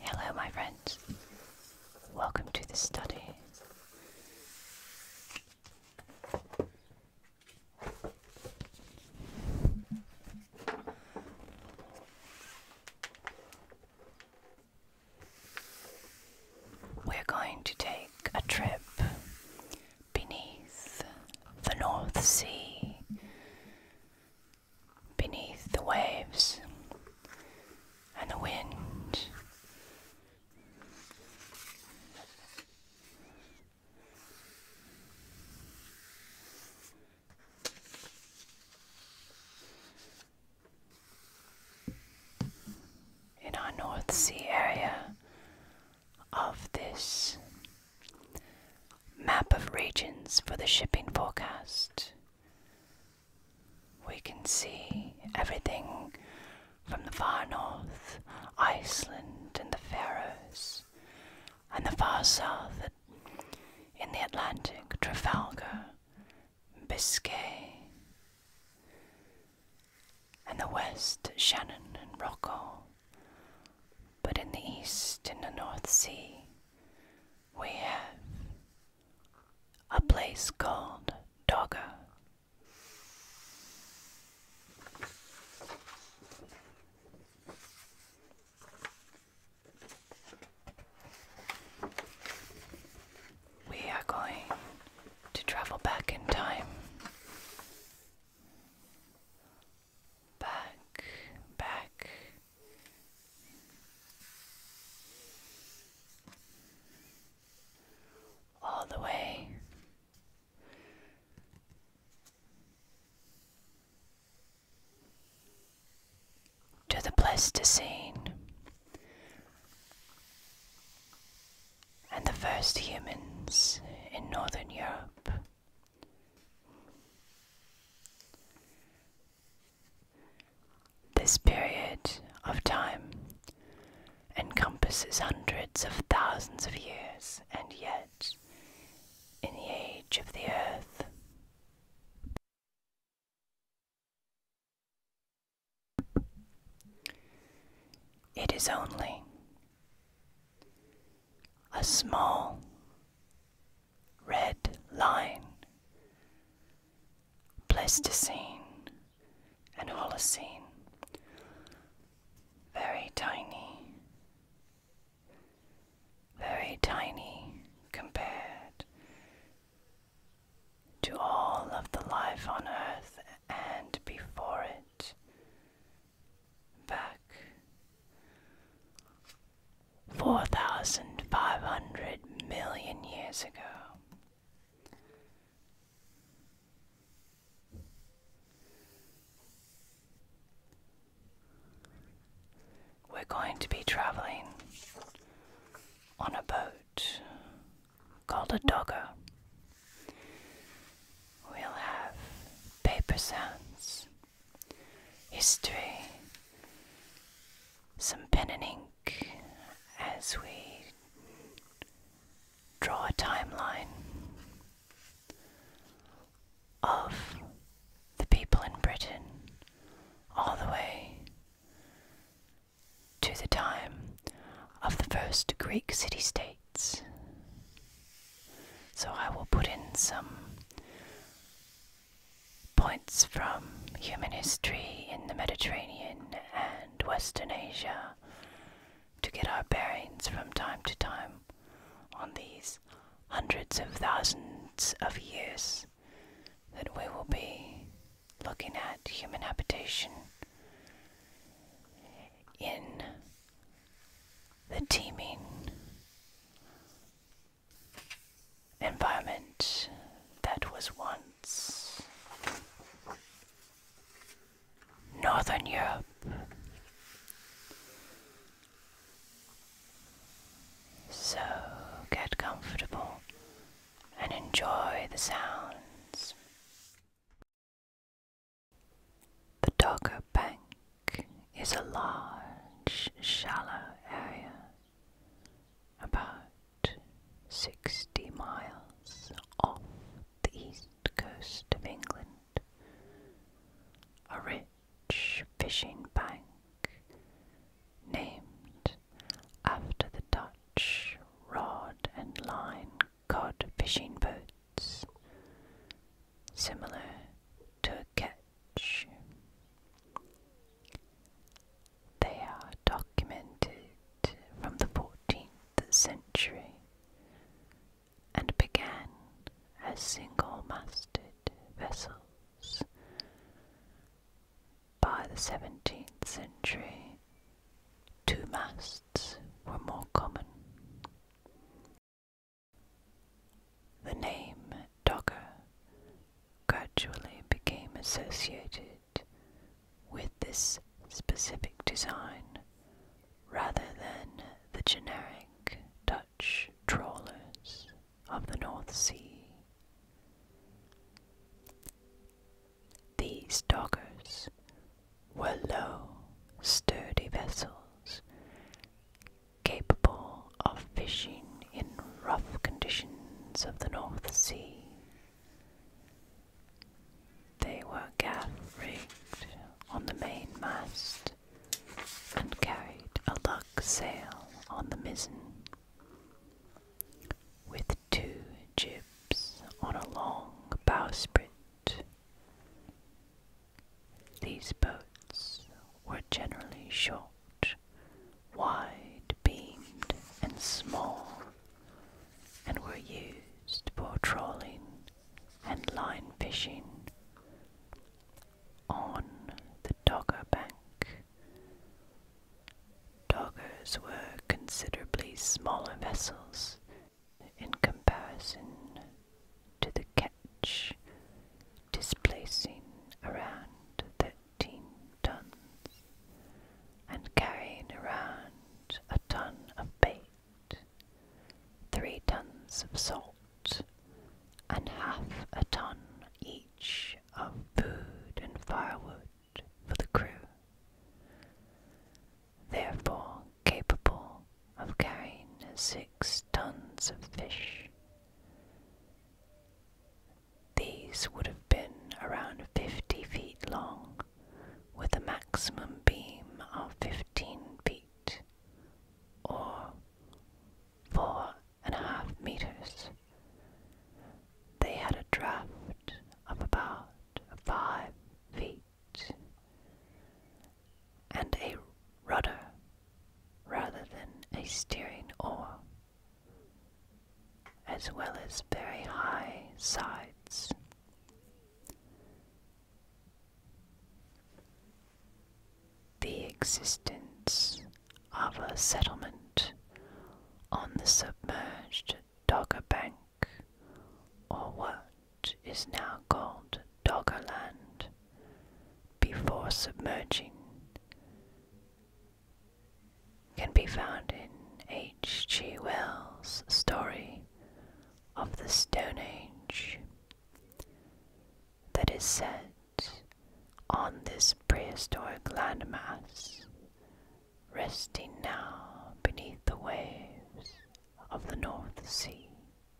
Hello, my friends. Welcome to the study. We're going to take a trip beneath the North Sea beneath the waves and the wind. In our North Sea area of this Map of regions for the shipping forecast. We can see everything from the far north, Iceland, and the Faroes, and the far south in the Atlantic, Trafalgar, Biscay, and the west, Shannon and Rocco, but in the east, in the North Sea, we have a place called Dogger. We are going to travel back in time. Back, back, all the way to the Pleistocene and the first humans in Northern Europe. This period of time encompasses hundreds of thousands of years, and yet, in the age of the earth, it is only a small red line. Pleistocene and Holocene, very tiny, very tiny compared to all of the life on Earth and before it. Back 4,500 million years ago. We're going to be traveling on a boat called a dogger. We'll have paper sounds history, some pen and ink as we draw a timeline of the people in Britain all the way to the time of the first Greek city states. So I will put in some points from human history in the Mediterranean and Western Asia to get our bearings from time to time on these hundreds of thousands of years that we will be looking at human habitation in the teeming environment that was once Northern Europe. So get comfortable and enjoy the sounds. The Dogger Bank is a large, shallow area, about 60 miles off the east coast of England. A rich fishing bank named after the Dutch rod and line cod fishing boats similar to a catch. They are documented from the 14th century and began as single masted vessels. By the 17th century, two masts were more common. The name Dogger gradually became associated with this specific design rather than the generic Dutch trawlers of the North Sea. These doggers were low, sturdy vessels capable of fishing in rough conditions of the North Sea. They were gaff rigged on the mainmast and carried a lug sail on the mizzen, with two jibs on a long bowsprit. These boats were generally short, wide beamed, and small, and were used for trawling and line fishing. On the Dogger Bank, doggers were considerably smaller vessels in comparison to the catch, displacing around 13 tons and carrying around a ton of bait, 3 tons of salt, and half a ton each of food and firewood for the crew. Therefore, capable of carrying six tons of fish. These would have been around 50 feet long, with a maximum beam of 15 feet, or four and a half meters. They had a draft of about five feet and a rudder rather than a steering oar, as well as very high sides. The existence of a settlement on the submerged Dogger Bank, or what is now called Doggerland before submerging, can be found in H. G. Wells' story of the Stone Age that is set on this prehistoric landmass, resting now beneath the waves of the North Sea.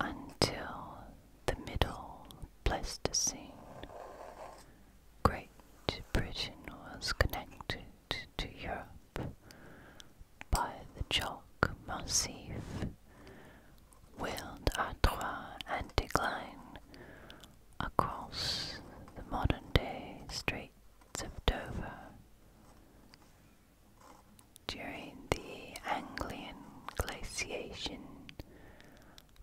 until the middle Pleistocene Great Britain was connected to Europe by the chalk massif, wheeled Artois and Decline across the modern-day Straits of Dover. During the Anglian glaciation,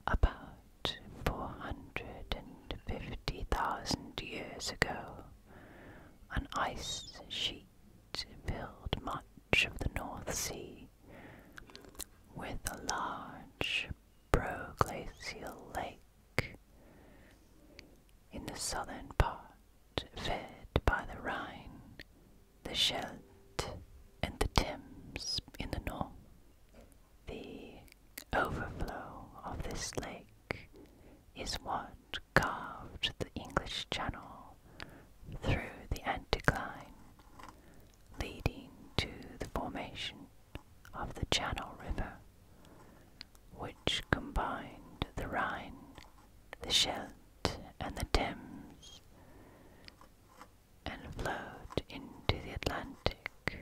about 450,000 years ago, an ice sheet filled much of the North Sea with a large proglacial lake in the southern part fed by the Rhine, the Scheldt, and the Thames in the north. The overflow of this lake is what carved the English Channel through the anticline, leading to the formation of the Channel River, which combined the Rhine, the Scheldt, and the Thames and flowed into the Atlantic.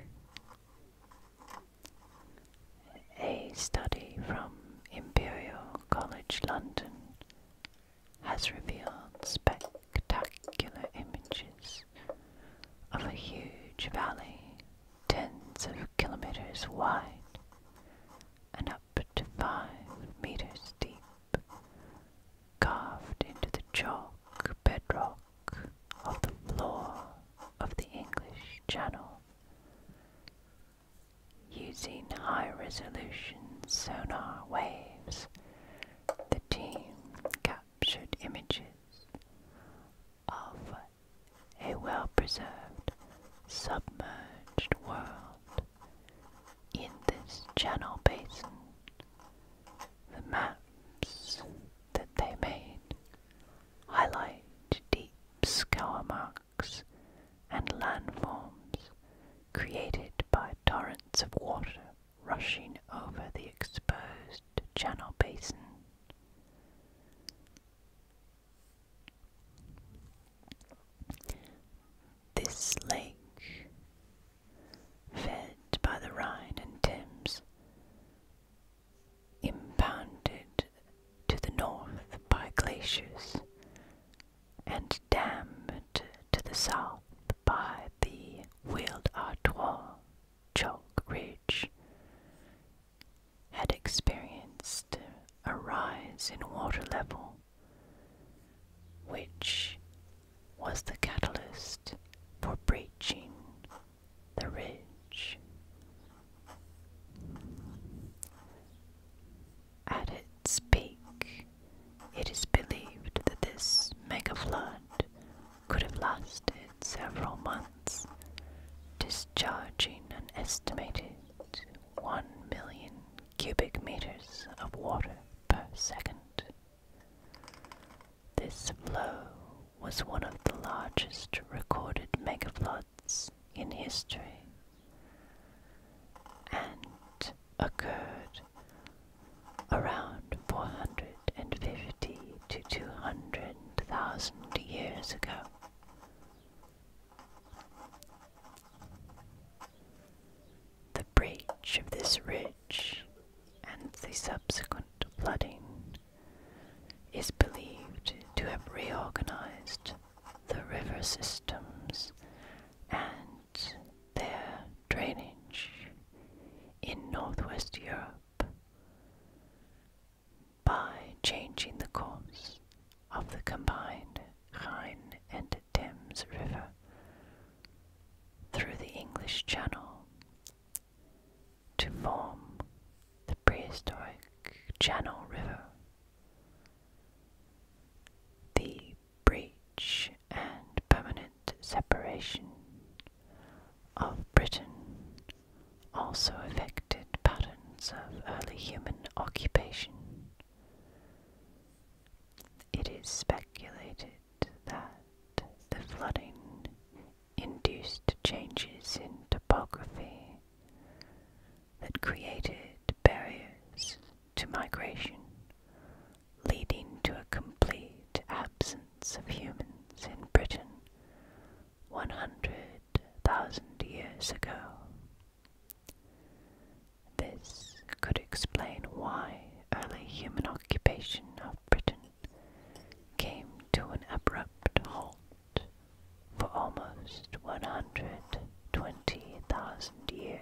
A study from Imperial College London has revealed spectacular images of a huge valley tens of kilometers wide and up to five meters deep, carved into the chalk bedrock of the floor of the English Channel using high resolution sonar waves. The team captured images of a well preserved submerged world in this channel basin the maps that they made highlight deep scour marks and landforms created by torrents of water rushing over the exposed channel basin. This lake fed by the Rhine and Thames, impounded to the north by glaciers, and dammed to the south by the Weald Artois chalk ridge, had experienced a rise in water level, which was the catalyst for breaching the ridge. At its peak, it is believed that this mega flood could have lasted several months, discharging an estimated 1 million cubic meters of water per second. This flow was one of the largest recorded megafloods in history and occurred around 450 to 200,000 years ago. The breach of this ridge and the subsequent flooding is believed to have reorganized the river systems and their drainage in northwest Europe by changing the course of the combined Rhine and Thames River through the English Channel to form the prehistoric Channel River. The breach and permanent separation of Britain also affected patterns of early human occupation. It is speculated that the flooding induced changes in topography that created barriers to migration, leading to a complete absence of humans in Britain 100,000 years ago. This could explain why early human occupation of Britain came to an abrupt halt for almost 120,000 years.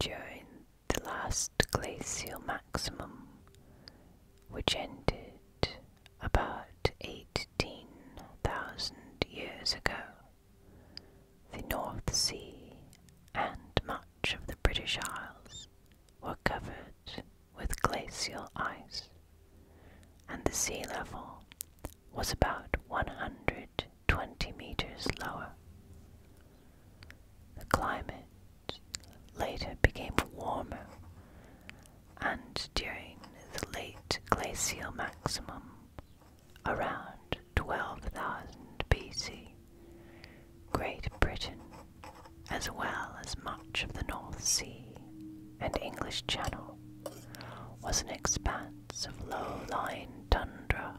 During the last glacial maximum, which ended about 18,000 years ago, the North Sea and much of the British Isles were covered with glacial ice, and the sea level was about 100 twenty meters lower. The climate later became warmer, and during the late glacial maximum, around 12,000 BC, Great Britain, as well as much of the North Sea and English Channel, was an expanse of low lying tundra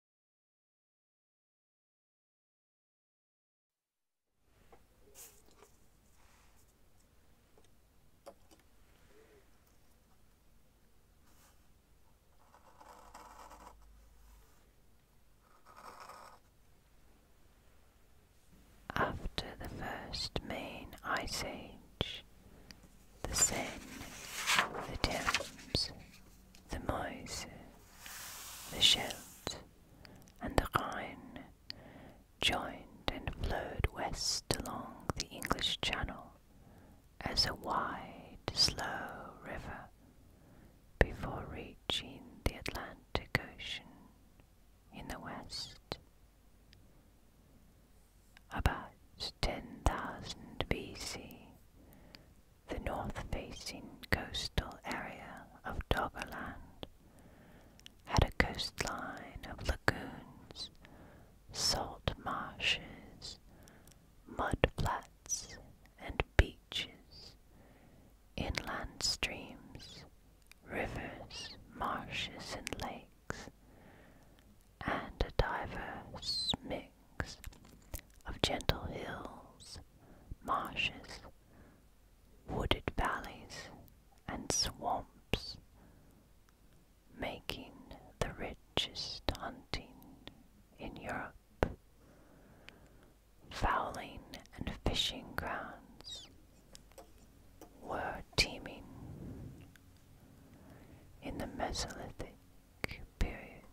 After the first main ice age, the of the Thames, the Meuse, the Scheldt, and the Rhine joined and flowed west along the English Channel as a wide, slow river before reaching the Atlantic Ocean in the west. About 10,000 BC, the north-facing coastal area of Doggerland had a coastline of lagoons, salt marshes, mud flats, and beaches, inland streams, rivers, marshes, and lakes, and a diverse mix of gentle hills marshes, wooded valleys, and swamps, making the richest hunting in Europe, fowling and fishing grounds were teeming. In the Mesolithic period,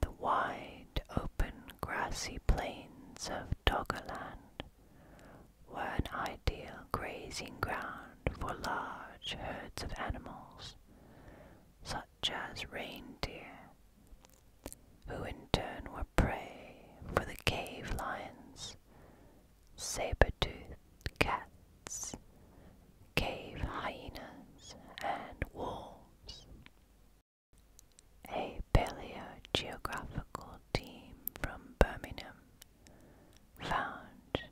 the wide open grassy plains of Doggerland were an ideal grazing ground for large herds of animals, such as reindeer, who in turn were prey for the cave lions, saber-toothed cats, cave hyenas, and wolves. A paleogeographical team from Birmingham found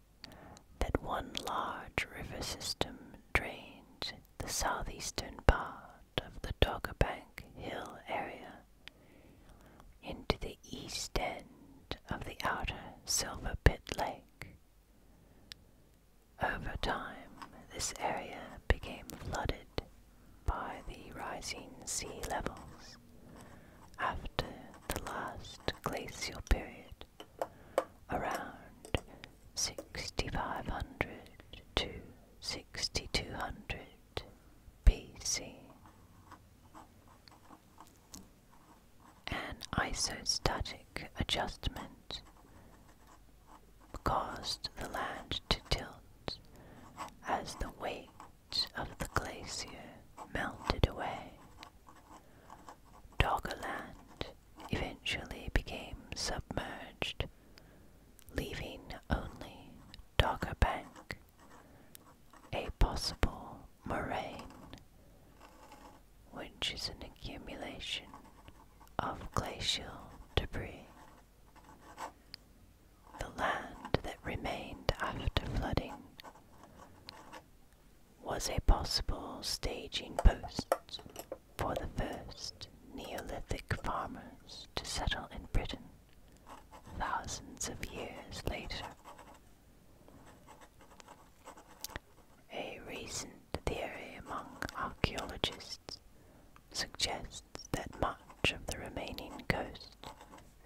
that one large river system drained the southeastern part of the Doggerbank Hill area into the east end of the outer Silver Pit Lake. Over time, this area became flooded by the rising sea levels after the last glacial period around 6500 to 6200 BC. An isostatic adjustment caused the land to tilt as the weight of the glacier melted away. Doggerland eventually became submerged, leaving only Dogger Bank, a possible moraine, which is an accumulation of glacial debris. The land that remained after flooding was a possible staging post for the first Neolithic farmers to settle in Britain thousands of years later. A reason. The theory among archaeologists suggests that much of the remaining coast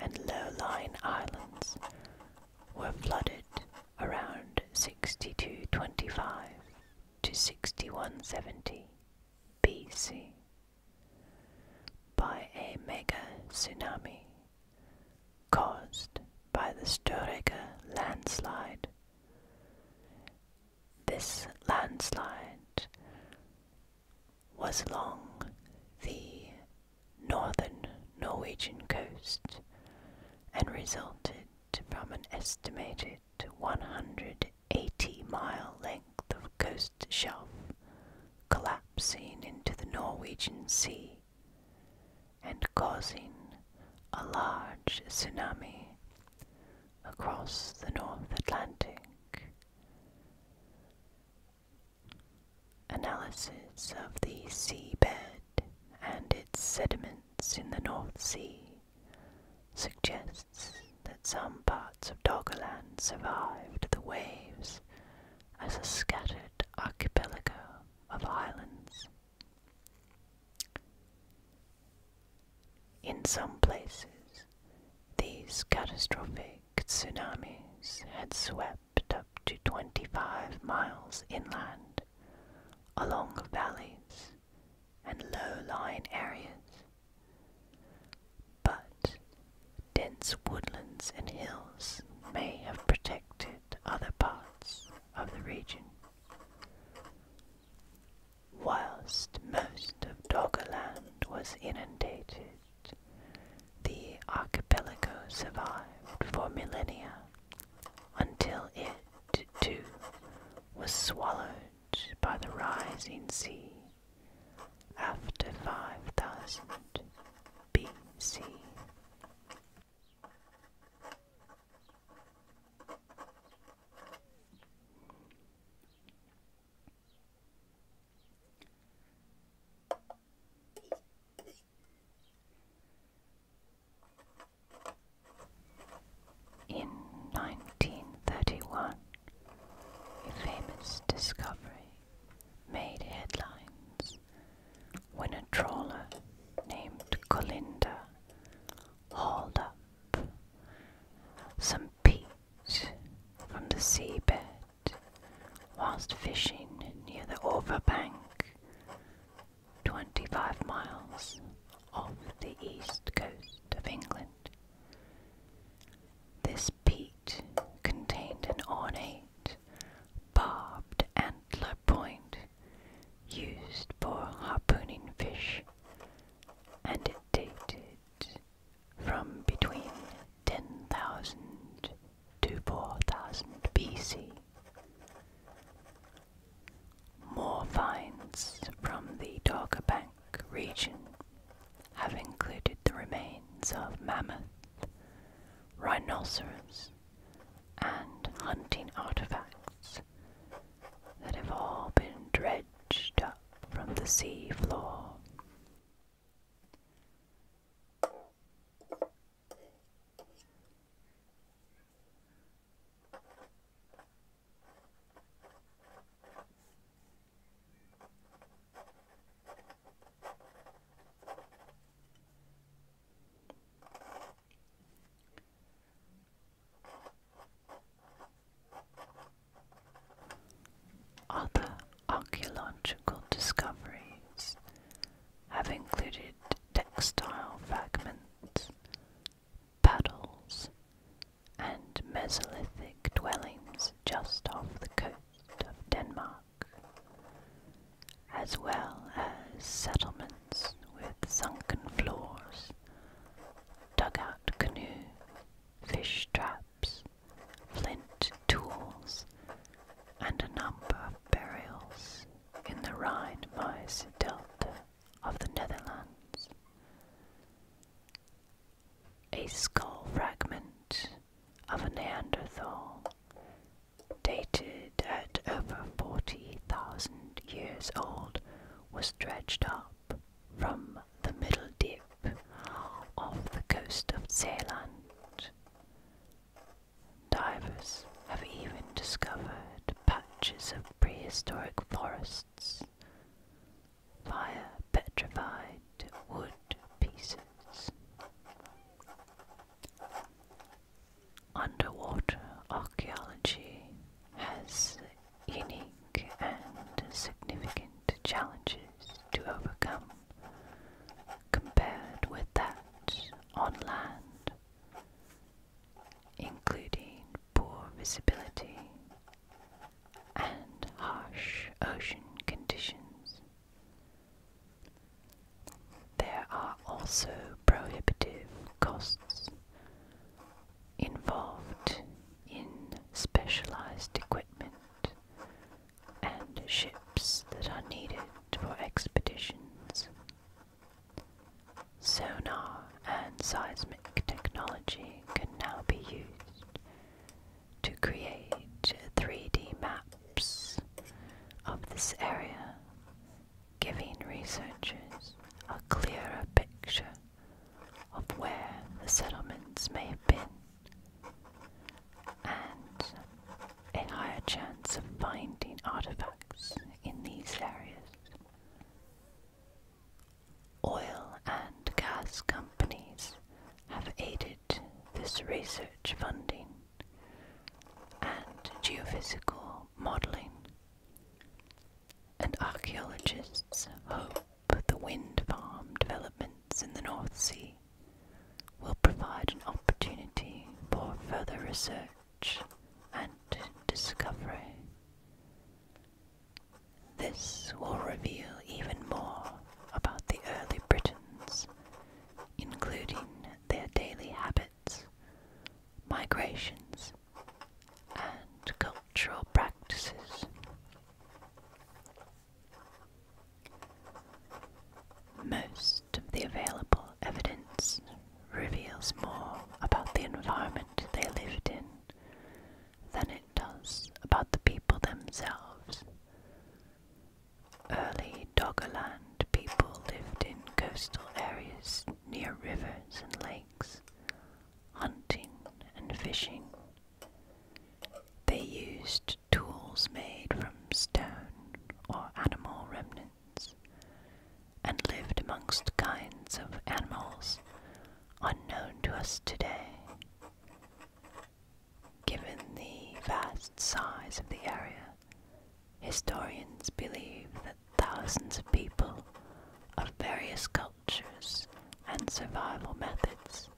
and low-lying islands were flooded around 6225 to 6170 BC by a mega tsunami caused by the Storega landslide this landslide was along the northern Norwegian coast and resulted from an estimated 180 mile length of coast shelf collapsing into the Norwegian Sea and causing a large tsunami across the North Atlantic. Analysis of the seabed and its sediments in the North Sea suggests that some parts of Doggerland survived the waves as a scattered archipelago of islands. In some places, these catastrophic tsunamis had swept up to 25 miles inland along valleys and low-lying areas. But dense woodlands and hills may have protected other parts of the region. Whilst most of Doggerland was inundated, the archipelago survived for millennia until it, too, was swallowed by the rising sea after 5000 BC. In 1931, a famous discovery made headlines when a trawler named Colinda hauled up some peat from the seabed whilst fishing near the Orva Bank, 25 miles off the east coast of England. This peat contained an ornate barbed antler point used for harpooning fish, and dated from between 10,000 to 4,000 BC. More finds from the Dogger Bank region have included the remains of mammoth, rhinoceros, and hunting artifacts that have all been dredged up from the sea floor. Other archaeological discoveries have included textile fragments, paddles, and Mesolithic dwellings just off the coast of Denmark as well as settlements with sunken floors, dugout canoe, fish traps, flint tools, and a number of burials in the Rhine-Maas delta of the Netherlands. A skull fragment of a Neanderthal dated at over 40,000 years old, was dredged up from the middle dip off the coast of Zealand. Divers have even discovered patches of prehistoric forests via petrified wood pieces. Underwater archaeology has unique and significant challenges to overcome compared with that on land, including poor visibility and harsh ocean conditions. There are also prohibitive costs involved in specialized equipment and ships that are needed for expeditions. Sonar and seismic technology can now be used to create 3D maps of this area giving researchers a clearer picture of where the settlements may have been and a higher chance of finding artifacts in these areas. Oil and gas companies have aided this research funding and geophysical modeling. And archaeologists hope the wind farm developments in the North Sea will provide an opportunity for further research and discovery. This will reveal even more about the early Britons, including their daily habits migrations, and cultural practices. Most of the available evidence reveals more about the environment they lived in than it does about the people themselves. Early Dogoland people lived in coastal areas near rivers and lakes, hunting and fishing. They used tools made from stone or animal remnants and lived amongst kinds of animals unknown to us today. Given the vast size of the area, Historians believe that thousands of people of various cultures and survival methods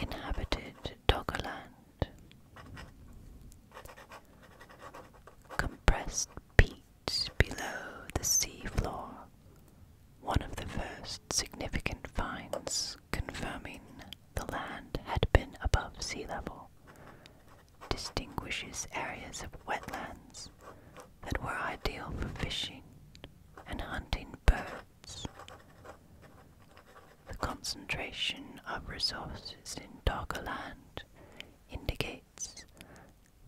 inhabited Dogoland. Compressed peat below the sea floor, one of the first significant finds confirming the land had been above sea level distinguishes areas of wetlands that were ideal for fishing and hunting birds. The concentration of resources in Dogger Land indicates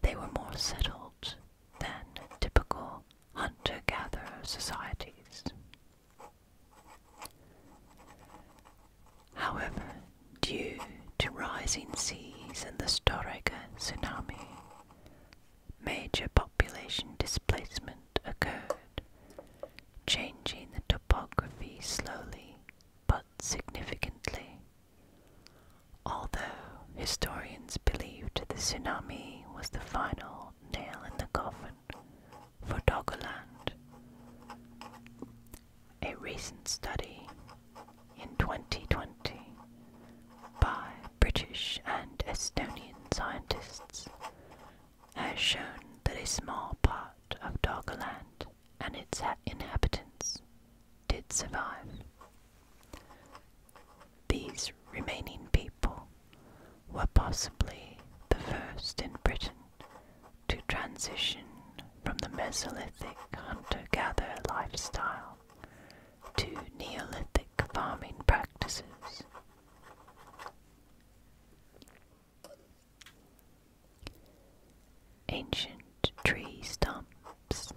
they were more settled than typical hunter-gatherer societies. However, due to rising seas and the Storega tsunami, major population displacement occurred, changing the topography slowly but significantly. Although historians believed the tsunami was the final nail in the coffin for Togoland, a recent study in 2020 by British and Estonian scientists has shown that a small part of Doggerland and its inhabitants did survive. These remaining people were possibly the first in Britain to transition from the Mesolithic hunter gatherer lifestyle to Neolithic farming practices. Ancient tree stumps,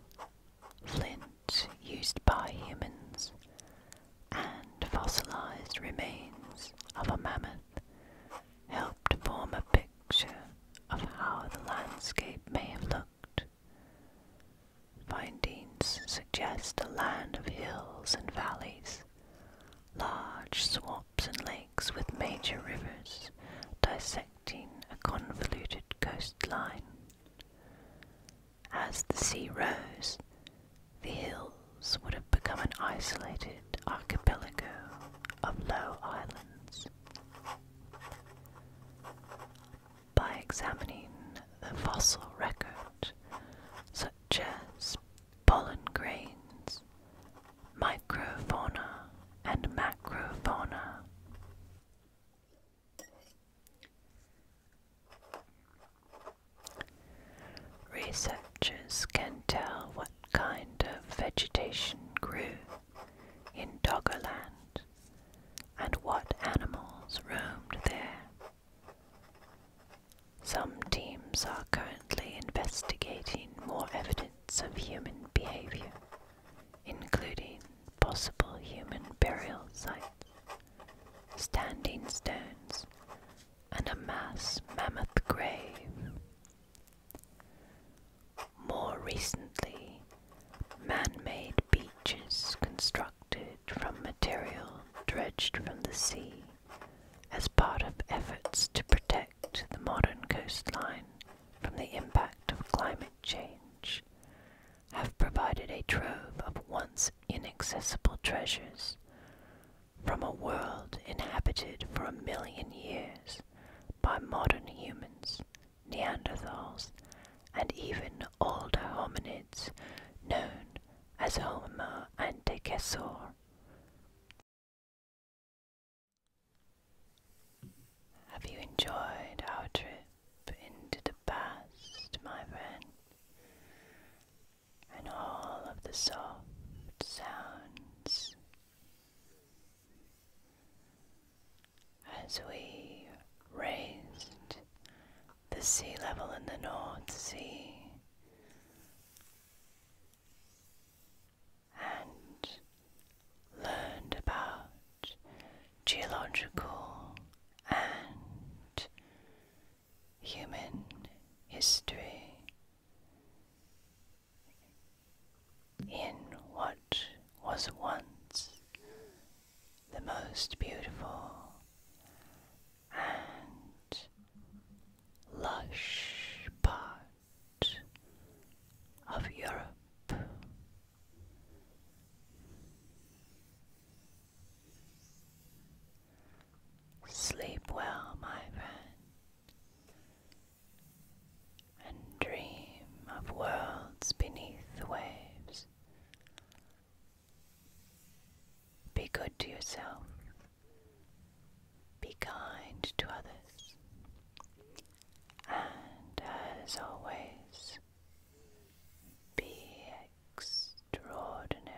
flint used by humans, and fossilized remains of a mammoth helped form a picture of how the landscape may have looked. Findings suggest a land of hills and valleys, large swamps and lakes with major rivers dissecting a convoluted coastline. As the sea rose, the hills would have become an isolated archipelago of low islands. By examining the fossil record, such as pollen grains, microfauna, and macrofauna, Researchers can tell what kind of vegetation grew in Doggerland and what animals roamed there. Some teams are currently investigating more evidence of human behavior, including possible human burial sites, standing stones, and a mass mammoth grave. More recently, man made beaches constructed from material dredged from the sea as part of efforts to protect the modern coastline from the impact of climate change have provided a trove of once inaccessible treasures from a world inhabited for a million years by modern humans, Neanderthals, and even older hominids known as Homo antecessor. Have you enjoyed our trip into the past, my friend? And all of the soft sounds as we raised the sea level in the North Sea and learned about geological and human history, in what was once the most beautiful and lush part of Europe. Sleep well, my friend and dream of worlds beneath the waves. Be good to yourself. Be kind to others. And as always, be extraordinary.